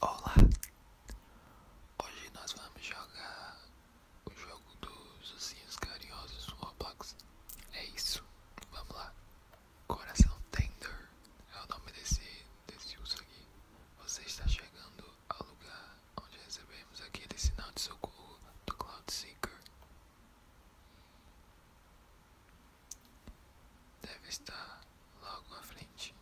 Olá! Hoje nós vamos jogar o jogo dos ossinhos carinhosos Roblox. É isso, vamos lá! Coração Tender é o nome desse, desse uso aqui. Você está chegando ao lugar onde recebemos aquele sinal de socorro do Cloud Seeker. Deve estar logo à frente.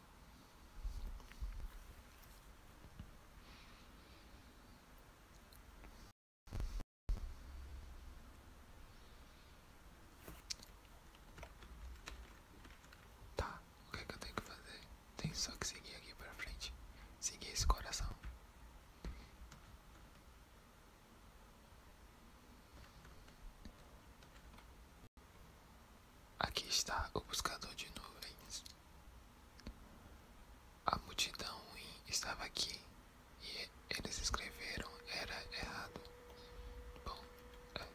Tá, o que, é que eu tenho que fazer? Tem só que seguir aqui pra frente. Seguir esse coração. Aqui está o buscador de nuvens. A multidão ruim estava aqui e eles escreveram era errado. Bom, é.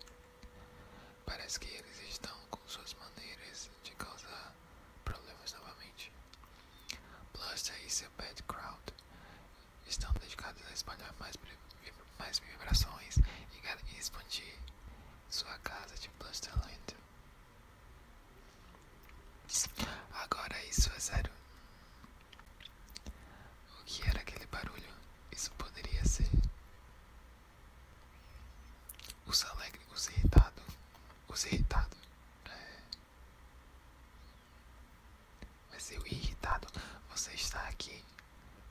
parece que eles estão com suas maneiras de causar problemas novamente. Bluster e seu bad crowd estão dedicados a espalhar mais mais vibrações e expandir sua casa de Busterland. Agora isso é zero. O que era aquele barulho? Isso poderia ser. Os alegre, os irritados. Os irritados. Né? Mas eu irritado, você está aqui.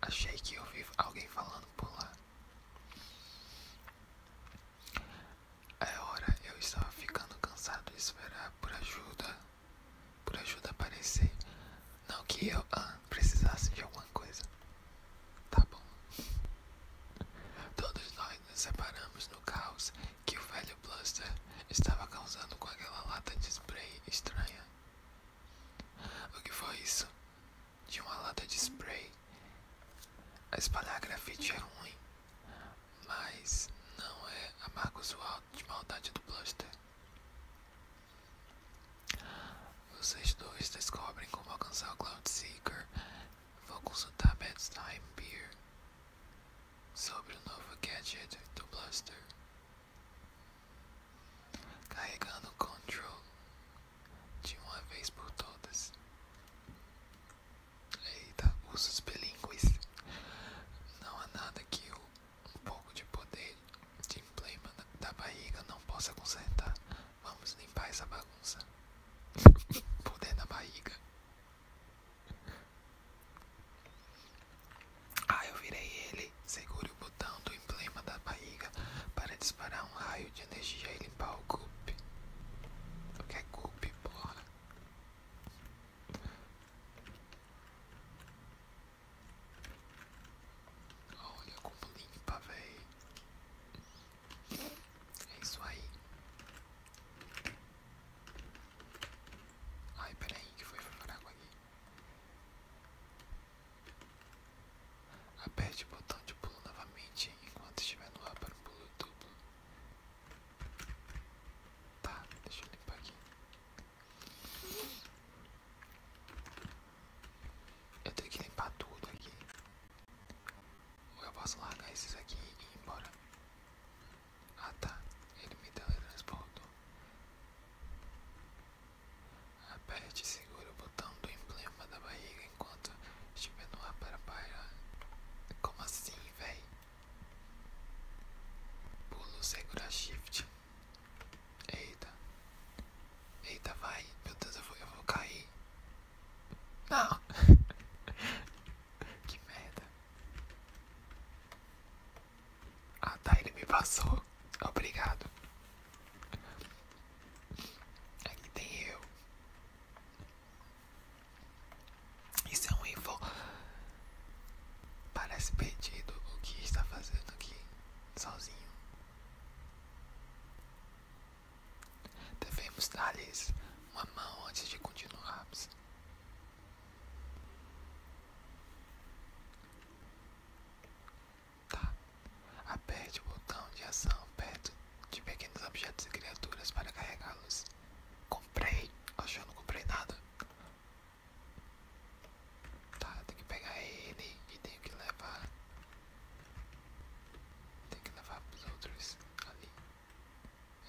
Achei que ouvi alguém falando por lá. A é hora eu estava ficando cansado de esperar por ajuda, por ajuda aparecer. Não que eu ah, precisasse de alguma coisa. Tá bom. Todos nós nos separamos no caos que o velho Blaster estava causando com aquela lata de spray estranha. O que foi isso? De uma lata de spray. A espalhar grafite é ruim, mas não é a marca usual de maldade do Bluster. Vocês dois descobrem como alcançar o Cloud Seeker. Vou consultar Bedtime Beer sobre o novo gadget do Bluster carregando o control de uma vez por todas. Eita, usos bilíngues. Não há nada que o, um pouco de poder de emblema da barriga não possa consertar. Vamos limpar essa bagunça. poder na barriga. Ah, eu virei ele. Segure o botão do emblema da barriga para disparar um raio de energia e limpar o golpe. O que é golpe, porra? Olha como limpa, véi. É isso aí. Ai, peraí, que foi pra água aqui. Aperte o botão de pulo novamente enquanto estiver no ar para um pulo duplo. Tá, deixa eu limpar aqui. Eu tenho que limpar tudo aqui. Ou eu posso largar esses aqui e ir embora. Ah tá, ele me teletransportou. Aperte e segure o botão do emblema da barriga enquanto estiver no ar para parar. Como assim, véi? Pulo segura shift. Eita. Eita, vai. Meu Deus, eu vou cair. Não. que merda. Ah tá, ele me passou. Obrigado. Aqui tem eu. Isso é um info. Parece perdido o que está fazendo aqui, sozinho. Devemos dar-lhes uma mão antes de continuarmos. Tá? Aperte o botão de ação perto de pequenos objetos e criaturas para carregá-los. Comprei? Acho que eu não comprei nada. Tá, tem que pegar ele e tenho que levar. tem que levar pros outros ali.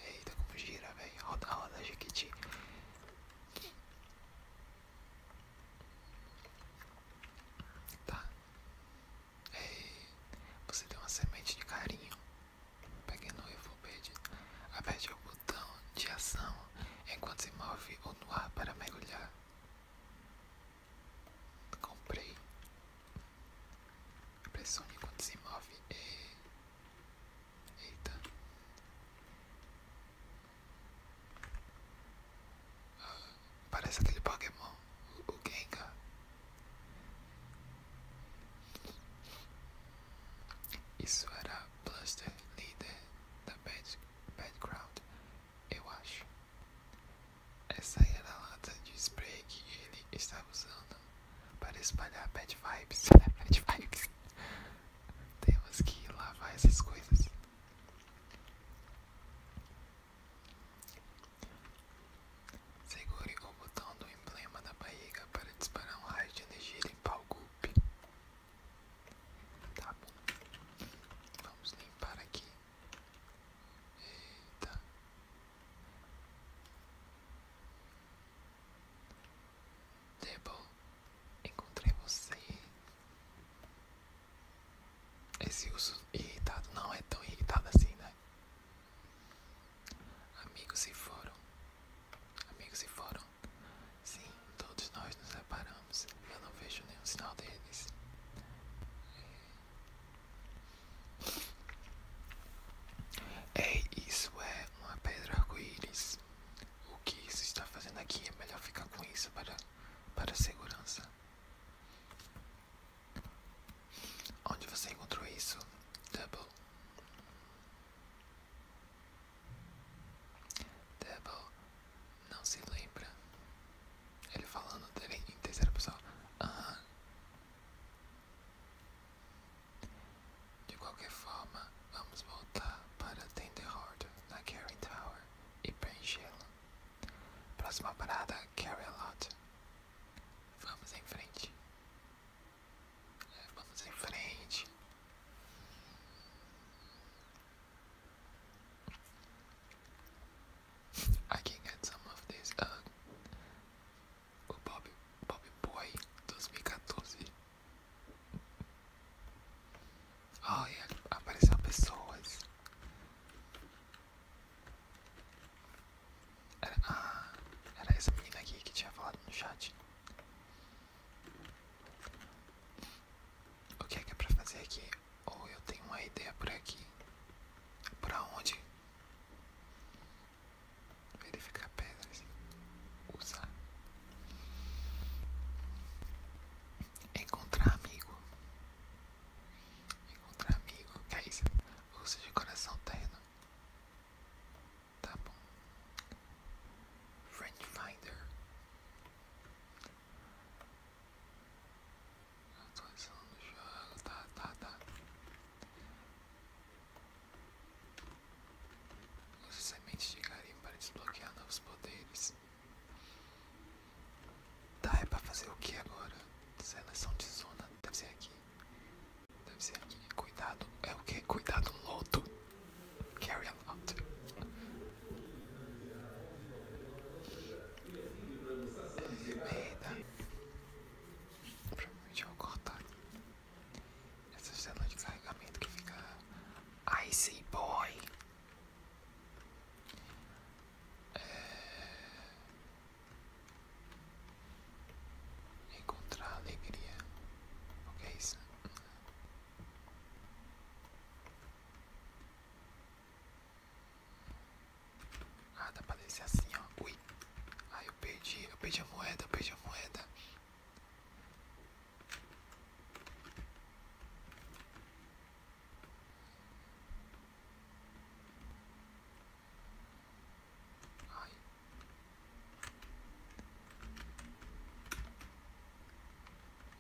Eita, como gira, velho. Roda, roda, Jequiti. Tá. Ei, é, você tem uma semente de carinho. peguei no Bede. Aperte o botão de ação enquanto se move ou no ar para mergulhar. Comprei. Pressione enquanto se move. Ei. É. Eita. Parece aquele Pokémon, o Gengar. Isso era bluster, líder da Bad, Background, eu acho. Essa era a lata de spray que ele estava usando para espalhar bad vibes. bad vibes. Temos que lavar essas coisas. Segure o botão do emblema da barriga para disparar um raio de energia e limpar o golpe. Tá bom. Vamos limpar aqui. Eita. Debo, tá encontrei você. Esse uso irritado não é tão irritado assim, né? Amigos se foram. Amigos se foram. Sim, todos nós nos separamos. Eu não vejo nenhum sinal deles. Ei, é, é, isso é uma pedra arco-íris. O que isso está fazendo aqui? É melhor ficar com isso para, para segurança. Onde você encontrou isso? devil devil não se lembra. Ele falando em terceira pessoa. Aham. De qualquer forma, vamos voltar para Tenderhorde na Carry Tower e preenchê-la. Próxima parada, Carry Lot. Vamos em frente. É, vamos em frente. I can get some of this. Uh, o Bob, Bob Boy 2014 Olha, apareceram pessoas. Era, ah, era essa menina aqui que tinha falado no chat. O que é que é pra fazer aqui? Ou eu tenho uma ideia por aqui. Pra onde? Verificar pedras. Usar. Encontrar amigo. Encontrar amigo. Que é isso? Luzes de coração terno. Tá bom. Friend Finder. Eu tô ensinando Tá, tá, tá. Use sementes de garim para desbloquear novos poderes. Tá, é pra fazer o que agora? Seleção de zona, deve ser aqui. Deve ser aqui. Cuidado, é o que? Cuidado, loto. Carry a lot. É, Provavelmente eu vou cortar. Essa célula de carregamento que fica Icy Boy. É... Encontrar alegria. O que é isso? Ah, dá pra descer assim, ó. Ui. Ah, eu perdi. Eu perdi a moeda, eu perdi a moeda.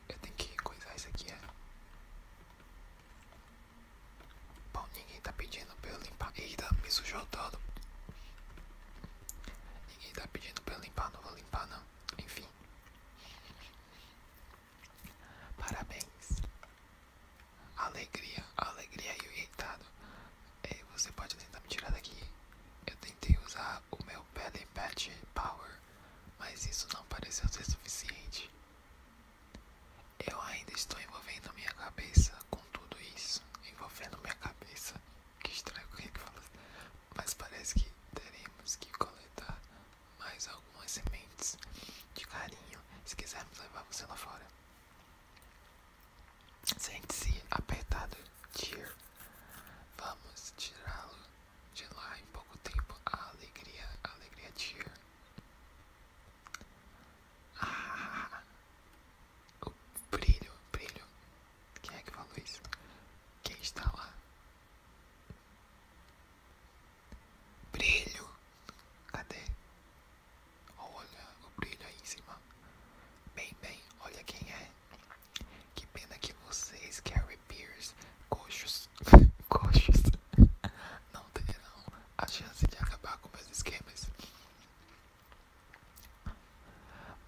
Eu tenho que coisar isso aqui, é. Bom, ninguém está pedindo para eu limpar. Eita, me sujou todo. Ninguém está pedindo para eu limpar, não vou limpar não. Enfim. Parabéns. Alegria, alegria e o Ei, é, você pode tentar me tirar daqui. Eu tentei usar o meu Belly Patch Power, mas isso não pareceu ser suficiente. Eu ainda estou envolvendo minha cabeça com tudo isso. Envolvendo minha cabeça que estranho é que ele falou. Assim? Mas parece que teremos que coletar mais algumas sementes de carinho se quisermos levar você lá fora. Sente-se apertado, Tyr. Vamos tirá-lo de lá em pouco tempo. A alegria, a alegria, Tyr. O brilho, brilho. Quem é que falou isso? Quem está lá? Brilho. Cadê? Olha o brilho aí em cima. Bem, bem, olha quem é. Que pena que vocês, Carrie Pierce, coxos, coxos, não terão a chance de acabar com meus esquemas.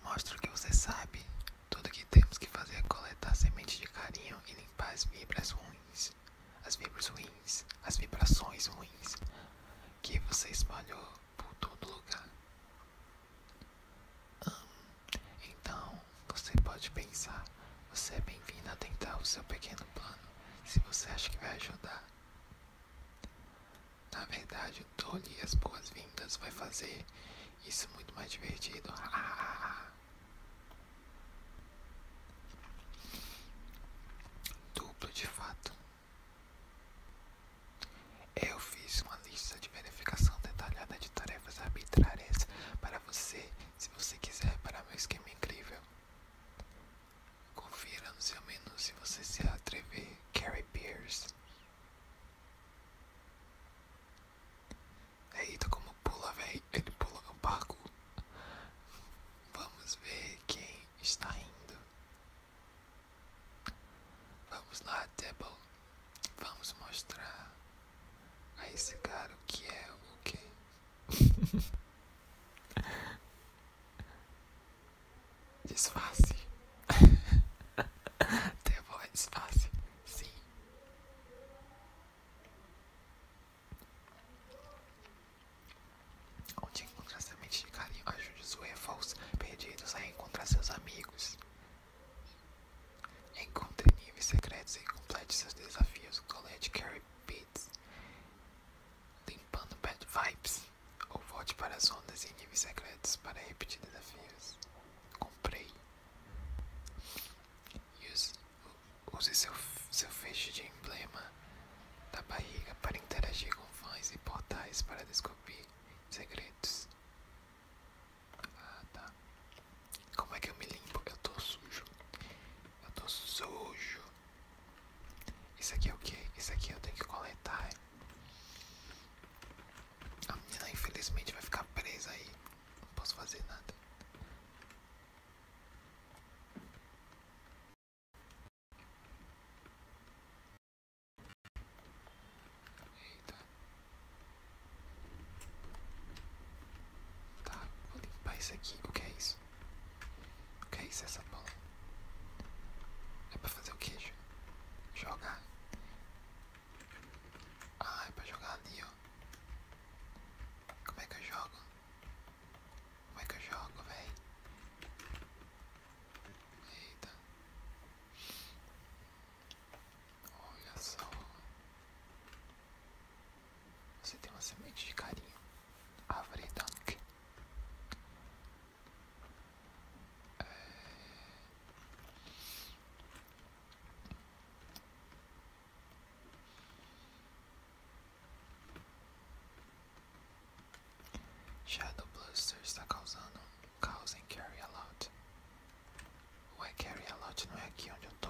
Mostra o que você sabe. Tudo o que temos que fazer é coletar semente de carinho e limpar as vibras ruins, as vibras ruins, as vibrações ruins que você espalhou por todo lugar. Hum, então, você pode pensar, você é bem-vindo a tentar o seu pequeno plano, se você acha que vai ajudar. Na verdade, tolhe lhe as boas-vindas vai fazer isso muito mais divertido. Ah, ah, ah, Duplo de fato. Eu fiz uma lista de verificação detalhada de tarefas arbitrárias para você, se você quiser, para meu esquema incrível. Confira no seu menu se você se atrever, Carrie Pierce. Eita, é como pula, velho. Ele pula no barco. Vamos ver quem está indo. Vamos lá, Debble. Vamos mostrar a esse cara o que é o que. Disfarce. Ter voz disfarce. Sim. Onde encontrar semente de carinho, ajude os UFOs perdidos a encontrar seus amigos. Encontre níveis secretos e complete seus desafios. Colete Carrie Beats. Limpando Bad Vibes ou volte para as ondas e níveis secretos para repetir desafios. Comprei. Use, use seu, seu feixe de emblema da barriga para interagir com fãs e portais para descobrir segredos. Ah, tá. Como é que eu me limpo? Eu tô sujo. Eu tô sujo. Isso aqui é o que? Isso aqui eu tenho que coletar. É? A menina infelizmente vai ficar presa aí. Não posso fazer nada. Eita. Tá, vou limpar isso aqui. O que é isso? O que é isso, essa bola? É pra fazer o queijo? Jogar? Ah, é pra jogar ali, ó. Como é que eu jogo? Como é que eu jogo, véi? Eita. Olha só. Você tem uma semente de carinho. Árvore Dunk. É. Shadow Bluster está causando um caos em Carry a Lot. Ué, Carry a Lot não é aqui onde eu tô.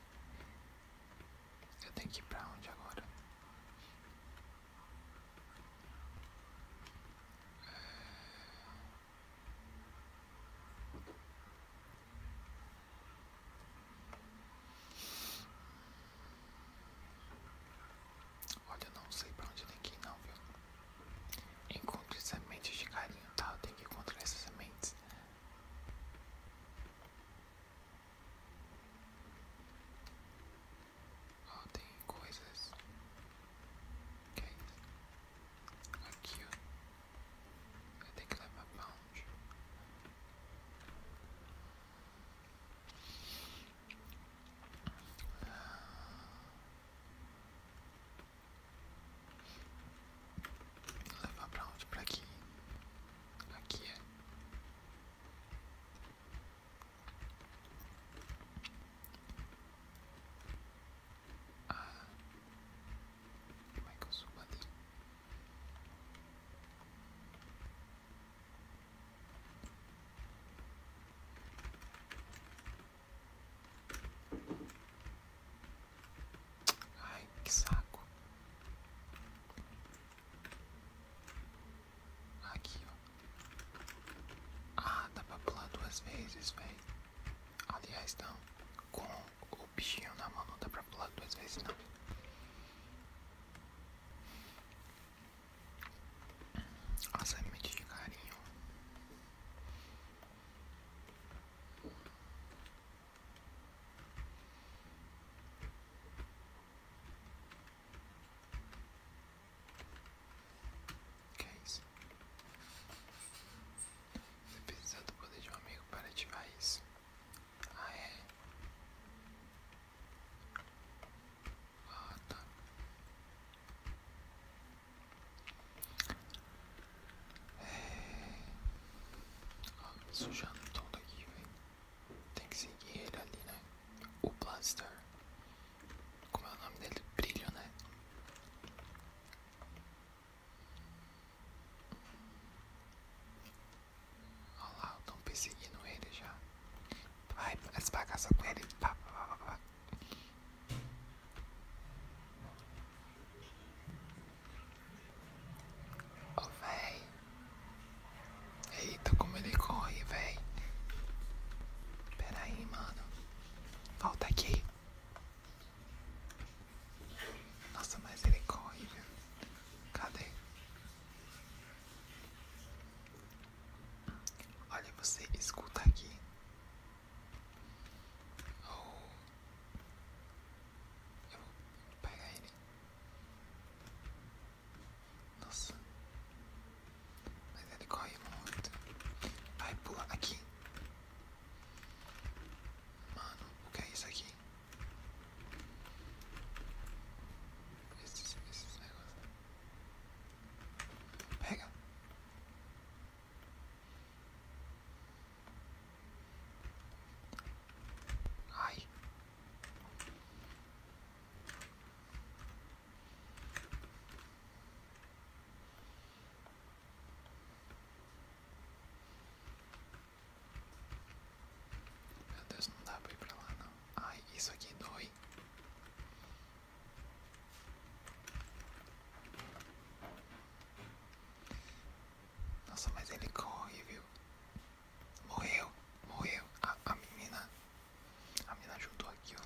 Eu tenho que ir pra onde agora? É. Olha, eu não sei pra onde tem que ir não, viu? Encontre sementes de carinho, tá? Eu tenho que encontrar essas sementes. Oh, the quizzes. Okay, cute. I think I'm a punch. Levar pra onde? Pra aqui. Aqui é. Ah. Como é Ai, que saco. Aqui, ó. Ah, dá pra pular duas vezes, velho. Aliás, não. Com o bichinho na mão não dá pra pular duas vezes, não. A semente é de carinho. Que é isso? Você precisa do poder de um amigo para ativar isso. Ah, é? Ah, tá. Ó, é, sujando tudo aqui, velho. Tem que seguir ele ali, né? O Blaster. Como é o nome dele? Brilho, né? Olha lá, estão perseguindo ele já. Vai, as bagaças com ele. Ó, oh, véi. Eita, como ele corre, véi. Pera aí, mano. Volta aqui. Nossa, mas ele corre, Cadê? Olha, você escuta aqui. Ou eu vou ele. Nossa. Mas ele corre muito. ai pula aqui. Mano, o que é isso aqui? Esses, esses negócios. Pega. Ai. Meu Deus, não dá pra ir pra lá, não. Ai, isso aqui dói. Nossa, mas ele corre, viu? Morreu, morreu. A, a menina. A menina ajudou aqui,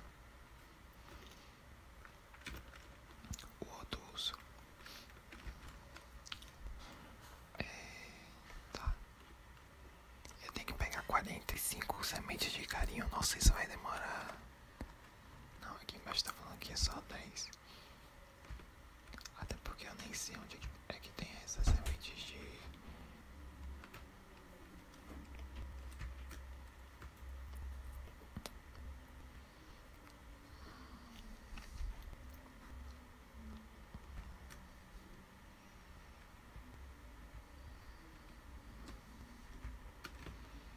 ó. O outro urso. É, tá. Eu tenho que pegar 45 sementes de carinho. Nossa, isso vai demorar. Não, aqui embaixo tá falando que é só dez. Até porque eu nem sei onde é que tem essas sementes de.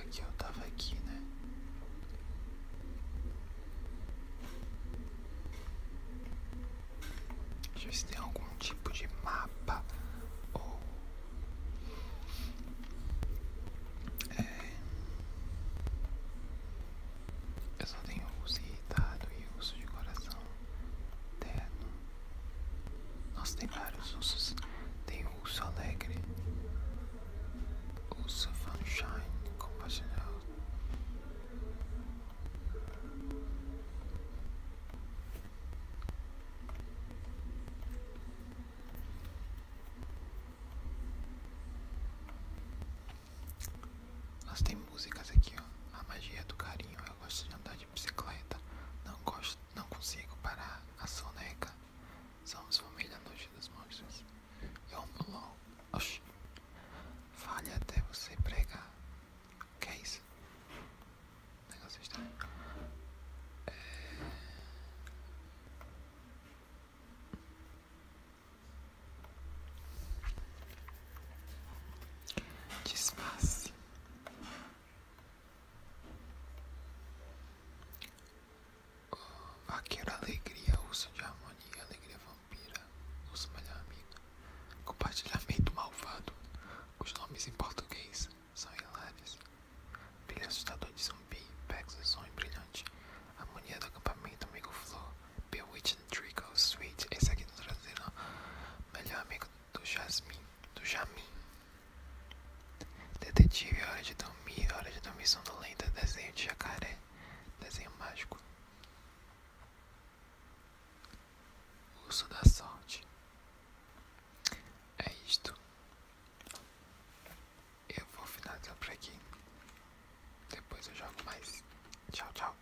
Aqui eu tava aqui, né? Deixa eu ver se tem algum tipo de mapa ou é... eu só tenho uso irritado e uso de coração terno. Nossa, tem vários usos. Tem o ouça alegre, ouça sunshine compaixonado. Mas tem músicas aqui, ó. A magia do carinho. Eu gosto de andar de bicicleta. Não gosto não consigo parar a soneca. São Somos famílias noite dos monstros. Yomulon. É Oxi. Fale até você pregar. O Que é isso? Negócio estranho. É... Disfarce. Vaqueiro alegria, urso de harmonia, alegria vampira, urso melhor amigo. Compartilhamento malvado. Os nomes em português são hilários. Brilho assustador de zumbi, pegos som sonho brilhante. Harmonia do acampamento, amigo flor. Bewitching Trickle, sweet. Esse aqui no traseiro, melhor amigo do Jasmin, do jamim. Detetive, hora de dormir, hora de dormir sonolenta, desenho de jacaré, desenho mágico. Urso da sorte. É isto. Eu vou finalizar por aqui. Depois eu jogo mais. Tchau, tchau.